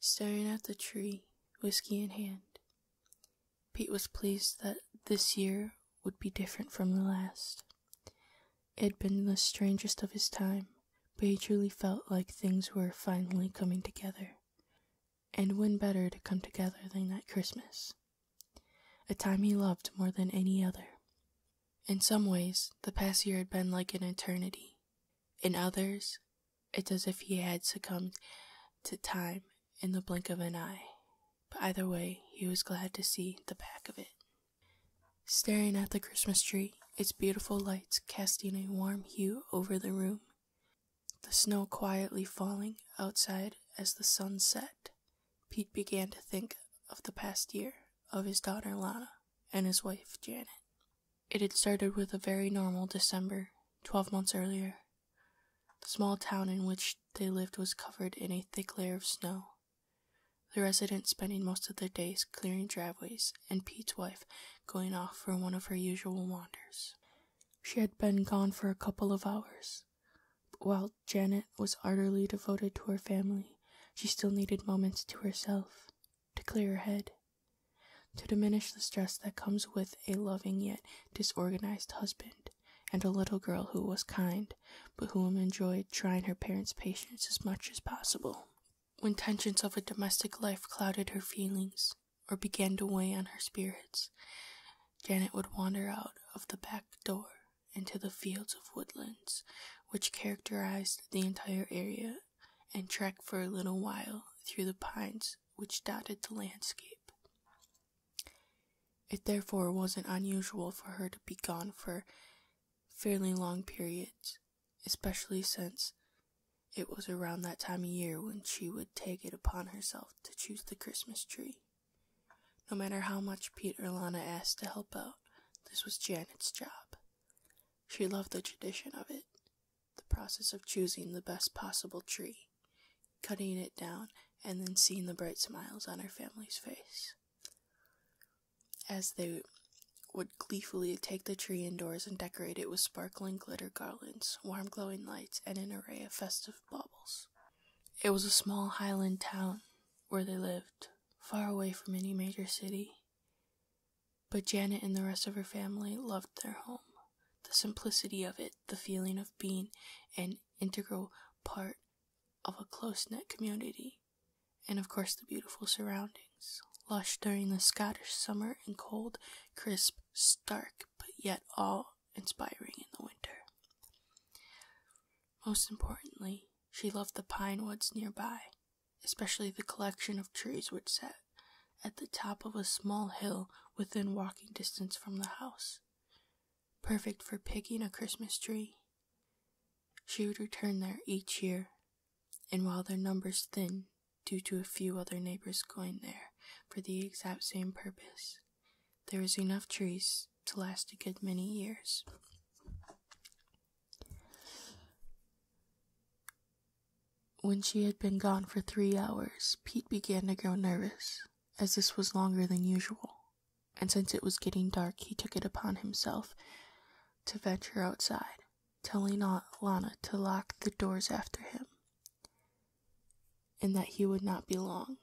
Staring at the tree, whiskey in hand, Pete was pleased that this year would be different from the last. It had been the strangest of his time, but he truly felt like things were finally coming together and when better to come together than that Christmas? A time he loved more than any other. In some ways, the past year had been like an eternity. In others, it's as if he had succumbed to time in the blink of an eye. But either way, he was glad to see the back of it. Staring at the Christmas tree, its beautiful lights casting a warm hue over the room, the snow quietly falling outside as the sun set, Pete began to think of the past year, of his daughter Lana, and his wife Janet. It had started with a very normal December, 12 months earlier. The small town in which they lived was covered in a thick layer of snow. The residents spending most of their days clearing driveways, and Pete's wife going off for one of her usual wanders. She had been gone for a couple of hours. But while Janet was ardently devoted to her family, she still needed moments to herself, to clear her head, to diminish the stress that comes with a loving yet disorganized husband, and a little girl who was kind, but who enjoyed trying her parents' patience as much as possible. When tensions of a domestic life clouded her feelings, or began to weigh on her spirits, Janet would wander out of the back door into the fields of woodlands which characterized the entire area and trek for a little while through the pines which dotted the landscape. It therefore wasn't unusual for her to be gone for fairly long periods, especially since it was around that time of year when she would take it upon herself to choose the Christmas tree. No matter how much Pete or Lana asked to help out, this was Janet's job. She loved the tradition of it, the process of choosing the best possible tree, cutting it down, and then seeing the bright smiles on her family's face. As they would gleefully take the tree indoors and decorate it with sparkling glitter garlands, warm glowing lights, and an array of festive baubles. It was a small highland town where they lived, far away from any major city. But Janet and the rest of her family loved their home. The simplicity of it, the feeling of being an integral part of a close knit community, and of course the beautiful surroundings lush during the Scottish summer and cold, crisp, stark but yet all inspiring in the winter. Most importantly, she loved the pine woods nearby, especially the collection of trees which sat at the top of a small hill within walking distance from the house. Perfect for picking a Christmas tree. She would return there each year, and while their numbers thin due to a few other neighbors going there for the exact same purpose. There is enough trees to last a good many years. When she had been gone for three hours, Pete began to grow nervous, as this was longer than usual, and since it was getting dark, he took it upon himself to venture outside, telling Aunt Lana to lock the doors after him and that he would not be long.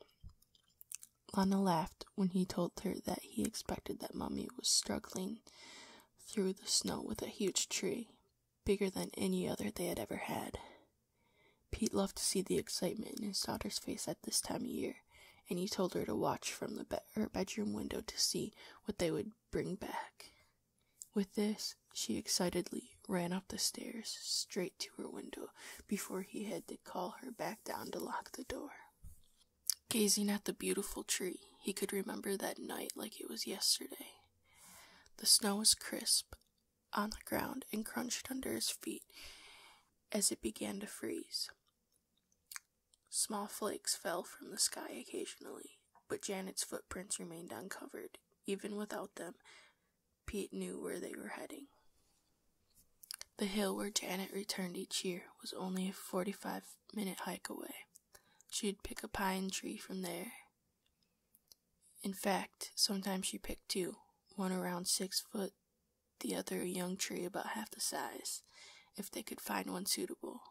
Lana laughed when he told her that he expected that Mummy was struggling through the snow with a huge tree, bigger than any other they had ever had. Pete loved to see the excitement in his daughter's face at this time of year, and he told her to watch from the her bedroom window to see what they would bring back. With this, she excitedly ran up the stairs straight to her window before he had to call her back down to lock the door. Gazing at the beautiful tree, he could remember that night like it was yesterday. The snow was crisp on the ground and crunched under his feet as it began to freeze. Small flakes fell from the sky occasionally, but Janet's footprints remained uncovered. Even without them, Pete knew where they were heading. The hill where Janet returned each year was only a 45 minute hike away. She'd pick a pine tree from there. In fact, sometimes she picked two, one around six foot, the other a young tree about half the size, if they could find one suitable.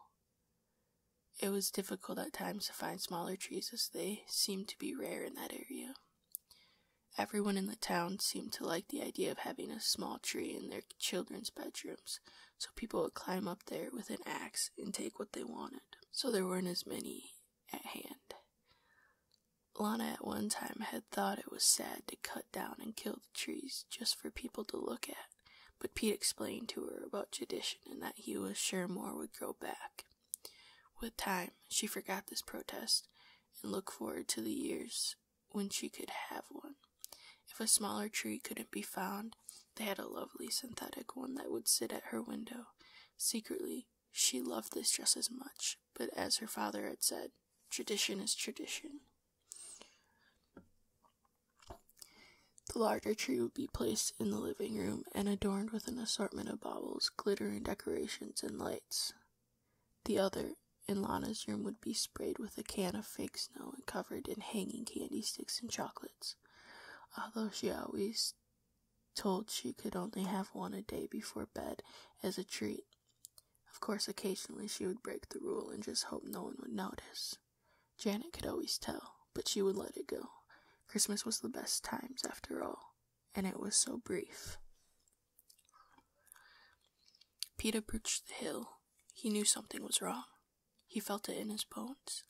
It was difficult at times to find smaller trees as they seemed to be rare in that area. Everyone in the town seemed to like the idea of having a small tree in their children's bedrooms, so people would climb up there with an axe and take what they wanted, so there weren't as many at hand. Lana at one time had thought it was sad to cut down and kill the trees just for people to look at, but Pete explained to her about tradition and that he was sure more would grow back. With time, she forgot this protest and looked forward to the years when she could have one. If a smaller tree couldn't be found, they had a lovely synthetic one that would sit at her window. Secretly, she loved this just as much, but as her father had said, tradition is tradition. The larger tree would be placed in the living room and adorned with an assortment of baubles, glittering decorations, and lights. The other, in Lana's room, would be sprayed with a can of fake snow and covered in hanging candy sticks and chocolates, although she always told she could only have one a day before bed as a treat. Of course, occasionally she would break the rule and just hope no one would notice. Janet could always tell, but she would let it go. Christmas was the best times, after all, and it was so brief. Peter approached the hill. He knew something was wrong. He felt it in his bones.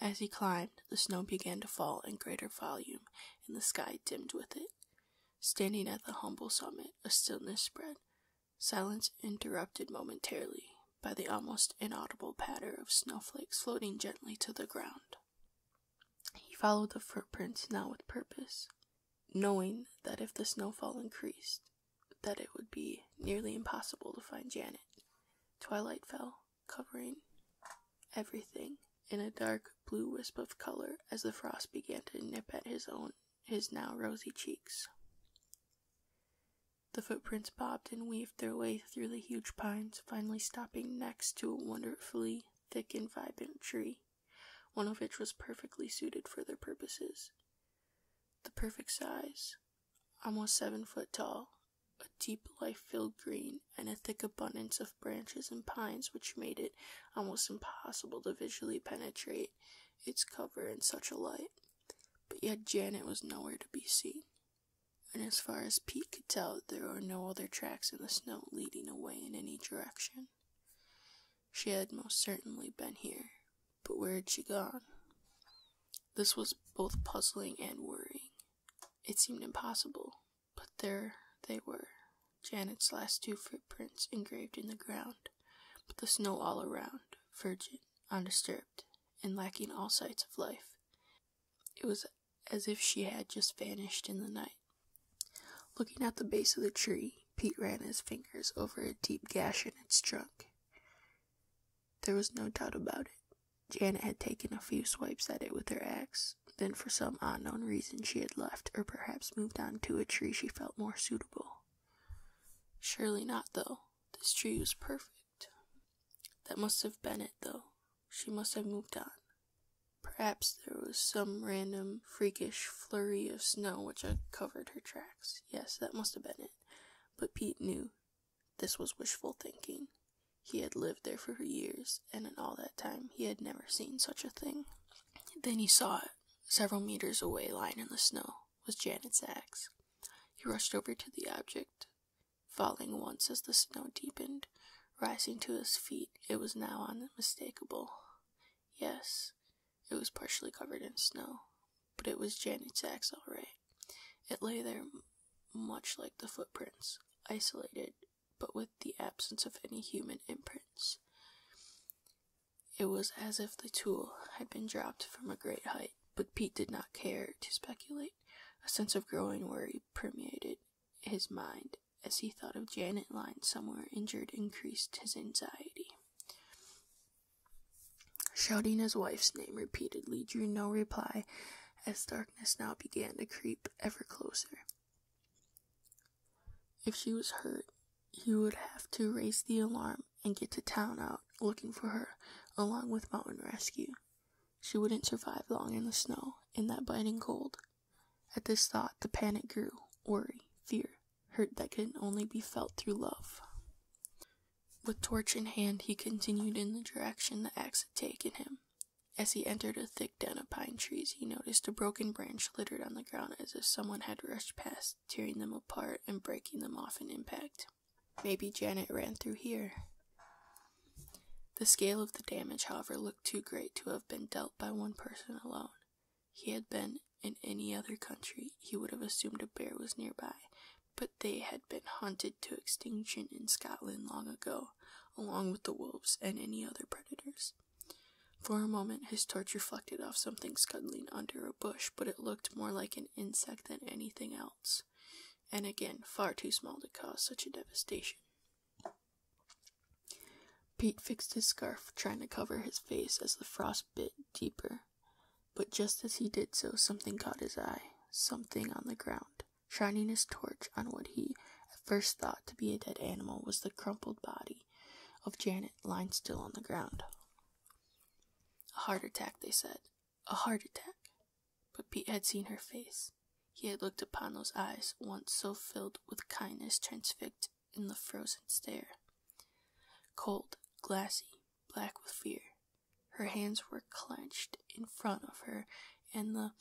As he climbed, the snow began to fall in greater volume, and the sky dimmed with it. Standing at the humble summit, a stillness spread. Silence interrupted momentarily by the almost inaudible patter of snowflakes floating gently to the ground. He followed the footprints now with purpose, knowing that if the snowfall increased, that it would be nearly impossible to find Janet. Twilight fell, covering everything in a dark blue wisp of color as the frost began to nip at his own his now rosy cheeks. The footprints bobbed and weaved their way through the huge pines, finally stopping next to a wonderfully thick and vibrant tree, one of which was perfectly suited for their purposes. The perfect size, almost seven foot tall, a deep life filled green, and a thick abundance of branches and pines which made it almost impossible to visually penetrate its cover in such a light. But yet Janet was nowhere to be seen and as far as Pete could tell, there were no other tracks in the snow leading away in any direction. She had most certainly been here, but where had she gone? This was both puzzling and worrying. It seemed impossible, but there they were Janet's last two footprints engraved in the ground, but the snow all around, virgin, undisturbed and lacking all sights of life. It was as if she had just vanished in the night. Looking at the base of the tree, Pete ran his fingers over a deep gash in its trunk. There was no doubt about it. Janet had taken a few swipes at it with her axe, then for some unknown reason she had left, or perhaps moved on to a tree she felt more suitable. Surely not, though this tree was perfect. That must have been it, though. She must have moved on. Perhaps there was some random freakish flurry of snow which had covered her tracks. Yes, that must have been it. But Pete knew this was wishful thinking. He had lived there for years, and in all that time he had never seen such a thing. Then he saw it, several meters away, lying in the snow was Janet's axe. He rushed over to the object, falling once as the snow deepened, rising to his feet. It was now unmistakable. Yes, it was partially covered in snow, but it was Janet's axe all right. It lay there much like the footprints, isolated, but with the absence of any human imprints. It was as if the tool had been dropped from a great height but Pete did not care to speculate. A sense of growing worry permeated his mind as he thought of Janet lying somewhere injured increased his anxiety. Shouting his wife's name repeatedly drew no reply as darkness now began to creep ever closer. If she was hurt, he would have to raise the alarm and get to town out looking for her, along with Mountain Rescue. She wouldn't survive long in the snow, in that biting cold. At this thought, the panic grew worry, fear, hurt that can only be felt through love. With torch in hand, he continued in the direction the axe had taken him. As he entered a thick den of pine trees, he noticed a broken branch littered on the ground as if someone had rushed past, tearing them apart and breaking them off in impact. Maybe Janet ran through here. The scale of the damage, however, looked too great to have been dealt by one person alone. He had been in any other country, he would have assumed a bear was nearby, but they had been hunted to extinction in Scotland long ago, along with the wolves and any other predators. For a moment, his torch reflected off something scuttling under a bush, but it looked more like an insect than anything else, and again, far too small to cause such a devastation. Pete fixed his scarf, trying to cover his face as the frost bit deeper. But just as he did so, something caught his eye, something on the ground. Shining his torch on what he at first thought to be a dead animal was the crumpled body of Janet lying still on the ground. A heart attack, they said. A heart attack. But Pete had seen her face. He had looked upon those eyes, once so filled with kindness, transfixed in the frozen stare. Cold, glassy, black with fear. Her hands were clenched in front of her, and the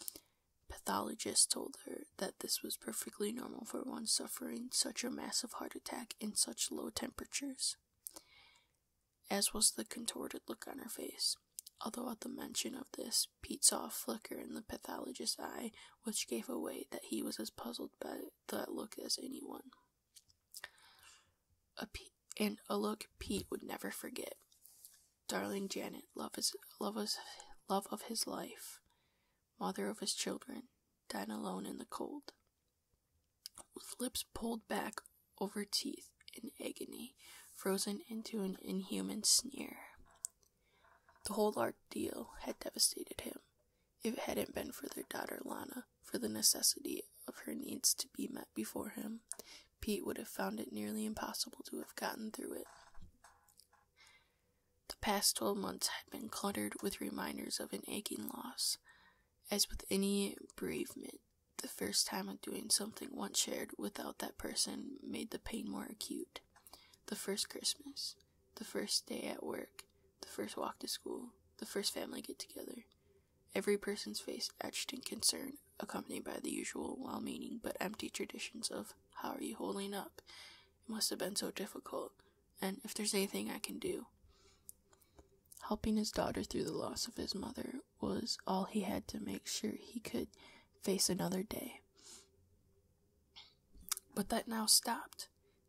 pathologist told her that this was perfectly normal for one suffering such a massive heart attack in such low temperatures as was the contorted look on her face. Although at the mention of this, Pete saw a flicker in the pathologist's eye, which gave away that he was as puzzled by that look as anyone. A P- and a look Pete would never forget. Darling Janet, love is love is love of his life, mother of his children, died alone in the cold with lips pulled back over teeth in agony, frozen into an inhuman sneer. The whole ordeal had devastated him. If it hadn't been for their daughter Lana, for the necessity of her needs to be met before him, Pete would have found it nearly impossible to have gotten through it. The past twelve months had been cluttered with reminders of an aching loss. As with any bereavement, the first time of doing something once shared without that person made the pain more acute. The first Christmas, the first day at work, the first walk to school, the first family get together. Every person's face etched in concern, accompanied by the usual well meaning but empty traditions of, How are you holding up? It must have been so difficult and if there's anything I can do. Helping his daughter through the loss of his mother was all he had to make sure he could face another day. But that now stopped.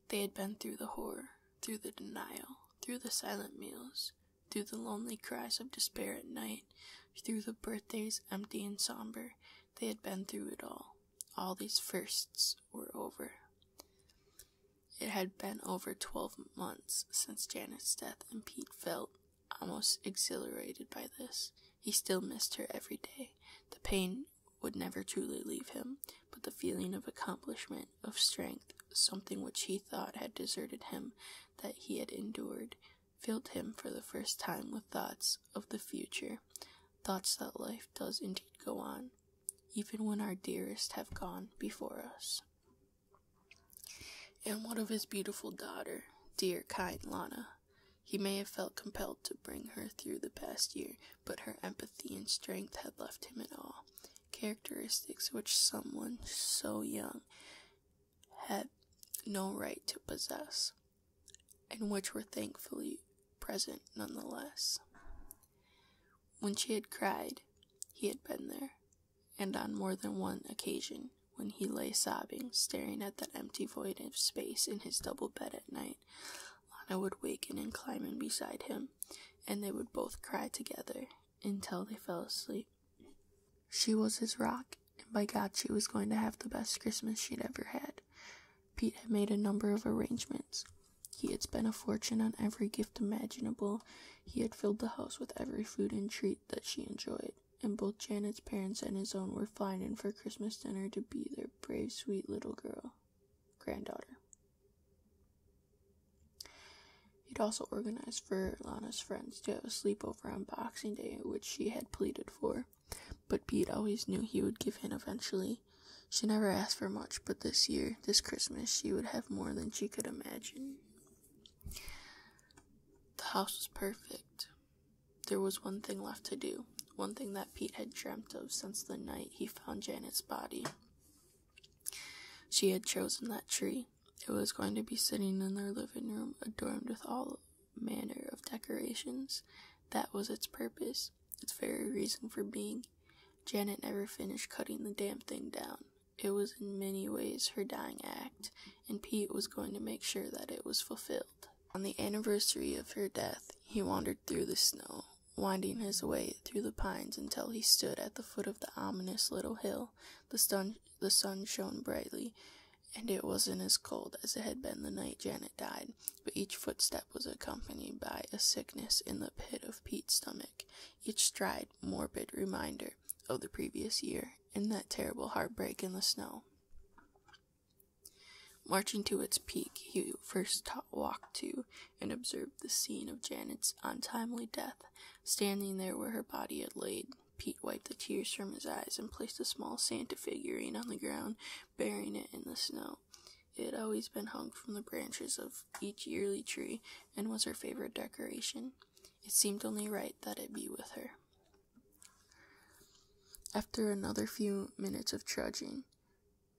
They had been through the horror, through the denial, through the silent meals, through the lonely cries of despair at night, through the birthdays empty and somber. They had been through it all. All these firsts were over. It had been over twelve months since Janet's death, and Pete felt almost exhilarated by this. He still missed her every day. The pain would never truly leave him, but the feeling of accomplishment, of strength, something which he thought had deserted him, that he had endured, filled him for the first time with thoughts of the future, thoughts that life does indeed go on, even when our dearest have gone before us. And what of his beautiful daughter, dear kind Lana? He may have felt compelled to bring her through the past year, but her empathy and strength had left him in awe. Characteristics which someone so young had no right to possess, and which were thankfully present nonetheless. When she had cried, he had been there, and on more than one occasion, when he lay sobbing, staring at that empty void of space in his double bed at night, Lana would waken and climb in beside him, and they would both cry together until they fell asleep. She was his rock, and by God, she was going to have the best Christmas she'd ever had. Pete had made a number of arrangements. He had spent a fortune on every gift imaginable. He had filled the house with every food and treat that she enjoyed, and both Janet's parents and his own were fine in for Christmas dinner to be their brave, sweet little girl, granddaughter. He'd also organized for Lana's friends to have a sleepover on Boxing Day, which she had pleaded for. But Pete always knew he would give in eventually. She never asked for much, but this year, this Christmas, she would have more than she could imagine. The house was perfect. There was one thing left to do, one thing that Pete had dreamt of since the night he found Janet's body. She had chosen that tree. It was going to be sitting in their living room, adorned with all manner of decorations. That was its purpose its very reason for being. Janet never finished cutting the damn thing down. It was in many ways her dying act, and Pete was going to make sure that it was fulfilled. On the anniversary of her death, he wandered through the snow, winding his way through the pines until he stood at the foot of the ominous little hill. The sun, the sun shone brightly, and it wasn't as cold as it had been the night Janet died but each footstep was accompanied by a sickness in the pit of Pete's stomach, each stride morbid reminder of the previous year and that terrible heartbreak in the snow. Marching to its peak, he first walked to and observed the scene of Janet's untimely death. Standing there where her body had laid, Pete wiped the tears from his eyes and placed a small Santa figurine on the ground, burying it in the snow. It had always been hung from the branches of each yearly tree and was her favorite decoration. It seemed only right that it be with her. After another few minutes of trudging,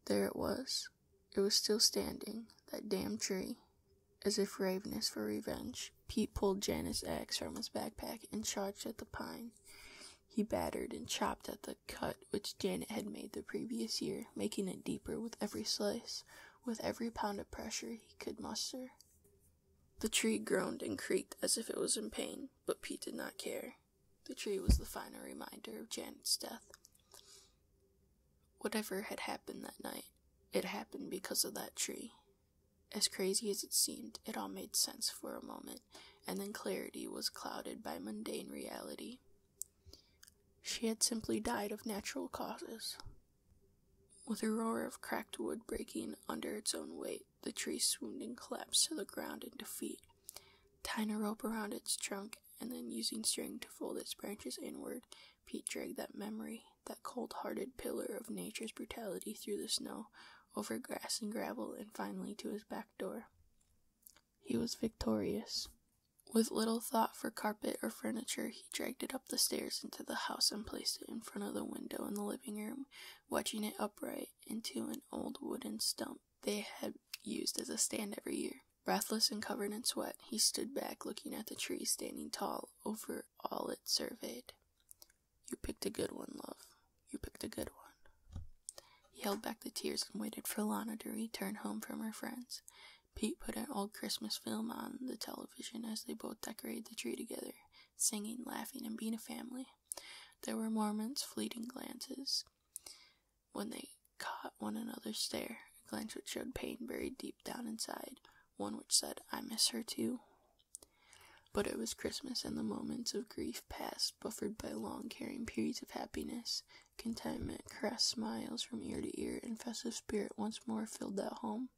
there it was. It was still standing, that damn tree. As if ravenous for revenge, Pete pulled Janet's axe from his backpack and charged at the pine. He battered and chopped at the cut which Janet had made the previous year, making it deeper with every slice, with every pound of pressure he could muster. The tree groaned and creaked as if it was in pain, but Pete did not care. The tree was the final reminder of Janet's death. Whatever had happened that night, it happened because of that tree. As crazy as it seemed, it all made sense for a moment and then clarity was clouded by mundane reality. She had simply died of natural causes. With a roar of cracked wood breaking under its own weight, the tree swooned and collapsed to the ground in defeat. Tying a rope around its trunk and then using string to fold its branches inward, Pete dragged that memory, that cold hearted pillar of nature's brutality, through the snow, over grass and gravel, and finally to his back door. He was victorious. With little thought for carpet or furniture, he dragged it up the stairs into the house and placed it in front of the window in the living room, wedging it upright into an old wooden stump they had used as a stand every year. Breathless and covered in sweat, he stood back looking at the tree standing tall over all it surveyed. You picked a good one, love, you picked a good one. He held back the tears and waited for Lana to return home from her friends. Pete put an old Christmas film on the television as they both decorated the tree together, singing, laughing, and being a family. There were Mormons' fleeting glances when they caught one another's stare, a glance which showed pain buried deep down inside, one which said, I miss her too. But it was Christmas, and the moments of grief past, buffered by long caring periods of happiness. Contentment, caressed smiles from ear to ear, and festive spirit once more filled that home,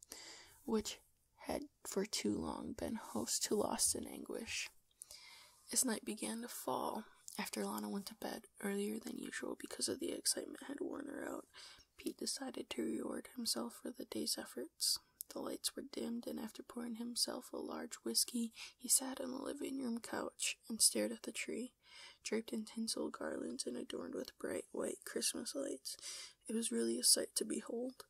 which had for too long been host to loss and anguish. As night began to fall, after Lana went to bed earlier than usual because of the excitement had worn her out, Pete decided to reward himself for the day's efforts. The lights were dimmed, and after pouring himself a large whiskey, he sat on the living room couch and stared at the tree, draped in tinsel garlands and adorned with bright white Christmas lights. It was really a sight to behold.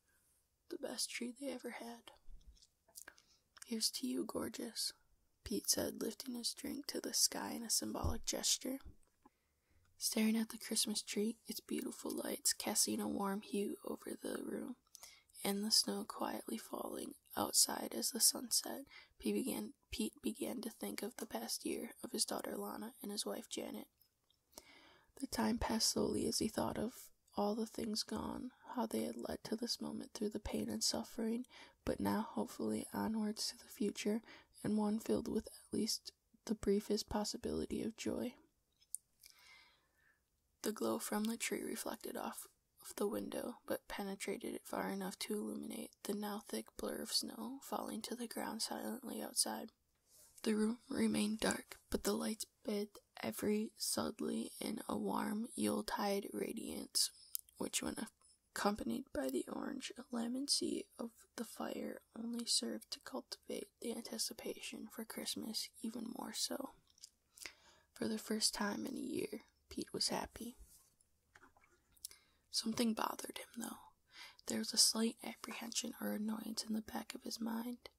The best tree they ever had. Here's to you, gorgeous, Pete said, lifting his drink to the sky in a symbolic gesture. Staring at the Christmas tree, its beautiful lights casting a warm hue over the room and the snow quietly falling outside as the sun set. Pete began, Pete began to think of the past year, of his daughter Lana and his wife Janet. The time passed slowly as he thought of all the things gone, how they had led to this moment through the pain and suffering, but now hopefully onwards to the future, and one filled with at least the briefest possibility of joy. The glow from the tree reflected off the window, but penetrated it far enough to illuminate the now thick blur of snow falling to the ground silently outside. The room remained dark, but the lights bathed every sudley in a warm Yuletide radiance, which, when accompanied by the orange lamincy of the fire, only served to cultivate the anticipation for Christmas even more so. For the first time in a year, Pete was happy. Something bothered him, though. There was a slight apprehension or annoyance in the back of his mind,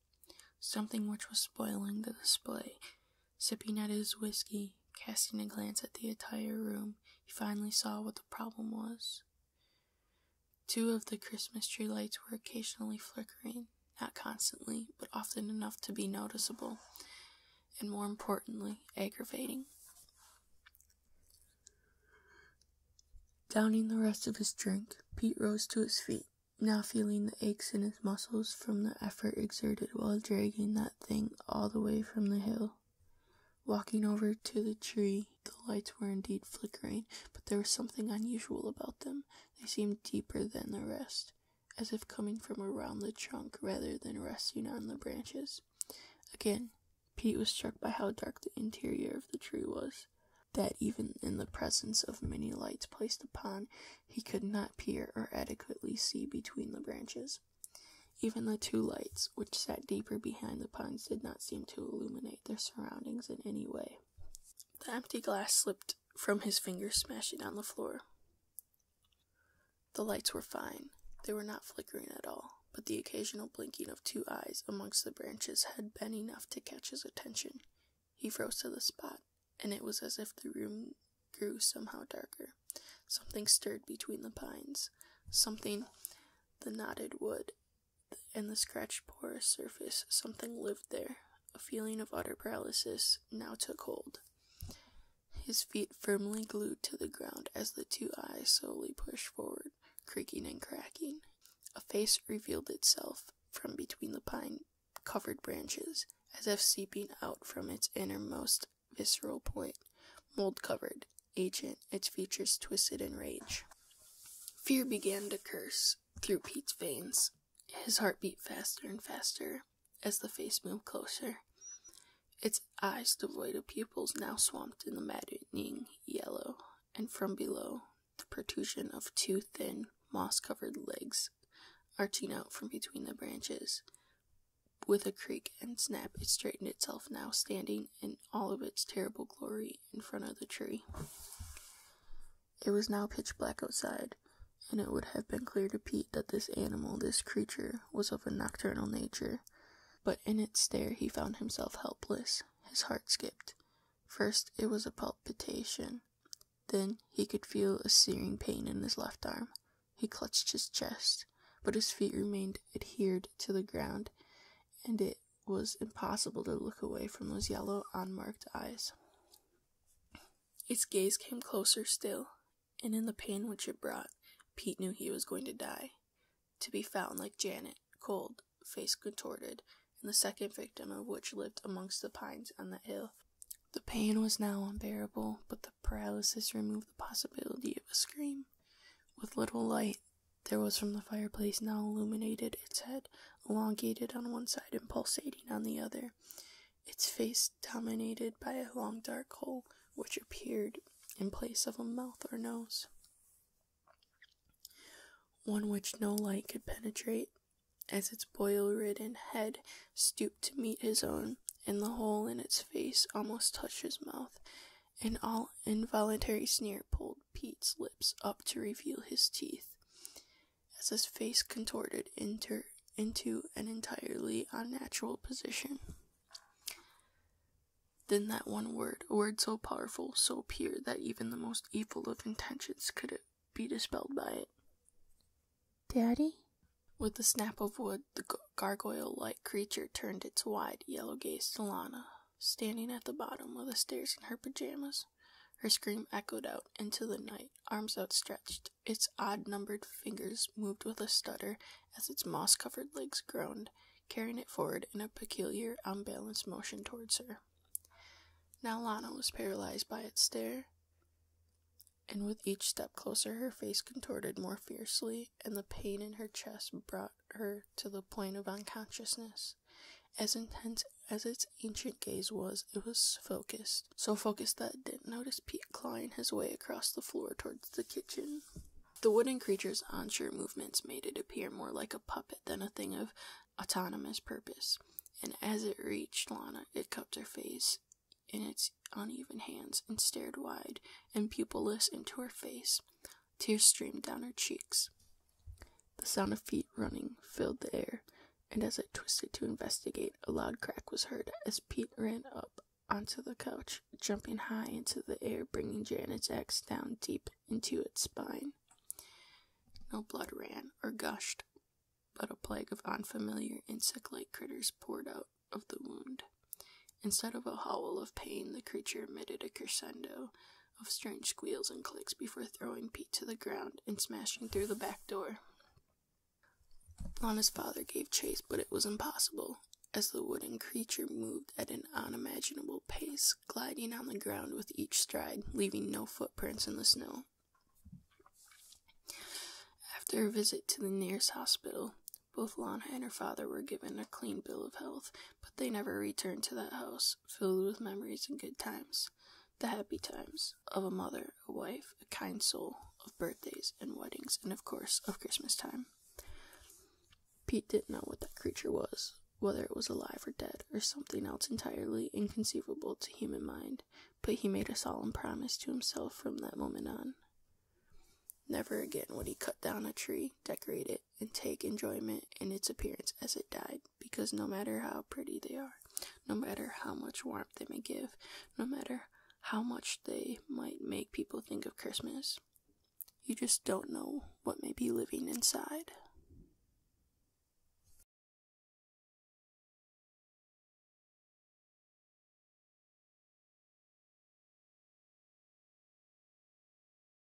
something which was spoiling the display. Sipping at his whiskey, casting a glance at the entire room, he finally saw what the problem was. Two of the Christmas tree lights were occasionally flickering, not constantly, but often enough to be noticeable, and more importantly, aggravating. Downing the rest of his drink, Pete rose to his feet, now feeling the aches in his muscles from the effort exerted while dragging that thing all the way from the hill. Walking over to the tree, the lights were indeed flickering, but there was something unusual about them they seemed deeper than the rest, as if coming from around the trunk rather than resting on the branches. Again, Pete was struck by how dark the interior of the tree was, that even in the presence of many lights placed upon, he could not peer or adequately see between the branches. Even the two lights, which sat deeper behind the pines, did not seem to illuminate their surroundings in any way. The empty glass slipped from his fingers smashing on the floor. The lights were fine. They were not flickering at all, but the occasional blinking of two eyes amongst the branches had been enough to catch his attention. He froze to the spot, and it was as if the room grew somehow darker. Something stirred between the pines. Something the knotted wood and the scratched porous surface. Something lived there, a feeling of utter paralysis now took hold, his feet firmly glued to the ground as the two eyes slowly pushed forward, creaking and cracking. A face revealed itself from between the pine covered branches, as if seeping out from its innermost visceral point, mold covered, agent, its features twisted in rage. Fear began to curse through Pete's veins. His heart beat faster and faster as the face moved closer, its eyes devoid of pupils now swamped in the maddening yellow, and from below, the protrusion of two thin, moss covered legs arching out from between the branches. With a creak and snap, it straightened itself, now standing in all of its terrible glory in front of the tree. It was now pitch black outside, and it would have been clear to Pete that this animal, this creature, was of a nocturnal nature. But in its stare he found himself helpless. His heart skipped. First it was a palpitation. Then he could feel a searing pain in his left arm. He clutched his chest, but his feet remained adhered to the ground, and it was impossible to look away from those yellow, unmarked eyes. Its gaze came closer still, and in the pain which it brought, Pete knew he was going to die. To be found like Janet, cold, face contorted, and the second victim of which lived amongst the pines on the hill. The pain was now unbearable, but the paralysis removed the possibility of a scream. With little light, there was from the fireplace now illuminated its head elongated on one side and pulsating on the other, its face dominated by a long dark hole which appeared in place of a mouth or nose, one which no light could penetrate. As its boil ridden head stooped to meet his own, and the hole in its face almost touched his mouth, an all involuntary sneer pulled Pete's lips up to reveal his teeth, as his face contorted into an entirely unnatural position. Then that one word, a word so powerful, so pure that even the most evil of intentions could be dispelled by it. Daddy? With a snap of wood, the gargoyle like creature turned its wide yellow gaze to Lana, standing at the bottom of the stairs in her pajamas. Her scream echoed out into the night, arms outstretched. Its odd numbered fingers moved with a stutter as its moss covered legs groaned, carrying it forward in a peculiar, unbalanced motion towards her. Now Lana was paralyzed by its stare, and with each step closer, her face contorted more fiercely, and the pain in her chest brought her to the point of unconsciousness. As intense as its ancient gaze was, it was focused. So focused that it didn't notice Pete clawing his way across the floor towards the kitchen. The wooden creature's onshore movements made it appear more like a puppet than a thing of autonomous purpose, and as it reached Lana, it cupped her face in its uneven hands and stared wide and pupilless into her face. Tears streamed down her cheeks. The sound of feet running filled the air, and as I twisted to investigate, a loud crack was heard as Pete ran up onto the couch, jumping high into the air, bringing Janet's axe down deep into its spine. No blood ran or gushed, but a plague of unfamiliar insect like critters poured out of the wound. Instead of a howl of pain, the creature emitted a crescendo of strange squeals and clicks before throwing Pete to the ground and smashing through the back door. Lana's father gave chase, but it was impossible, as the wooden creature moved at an unimaginable pace, gliding on the ground with each stride, leaving no footprints in the snow. After a visit to the nearest hospital, both Lana and her father were given a clean bill of health, but they never returned to that house filled with memories and good times, the happy times of a mother, a wife, a kind soul, of birthdays and weddings, and of course, of Christmas time. Pete didn't know what that creature was, whether it was alive or dead, or something else entirely inconceivable to human mind, but he made a solemn promise to himself from that moment on. Never again would he cut down a tree, decorate it, and take enjoyment in its appearance as it died, because no matter how pretty they are, no matter how much warmth they may give, no matter how much they might make people think of Christmas, you just don't know what may be living inside.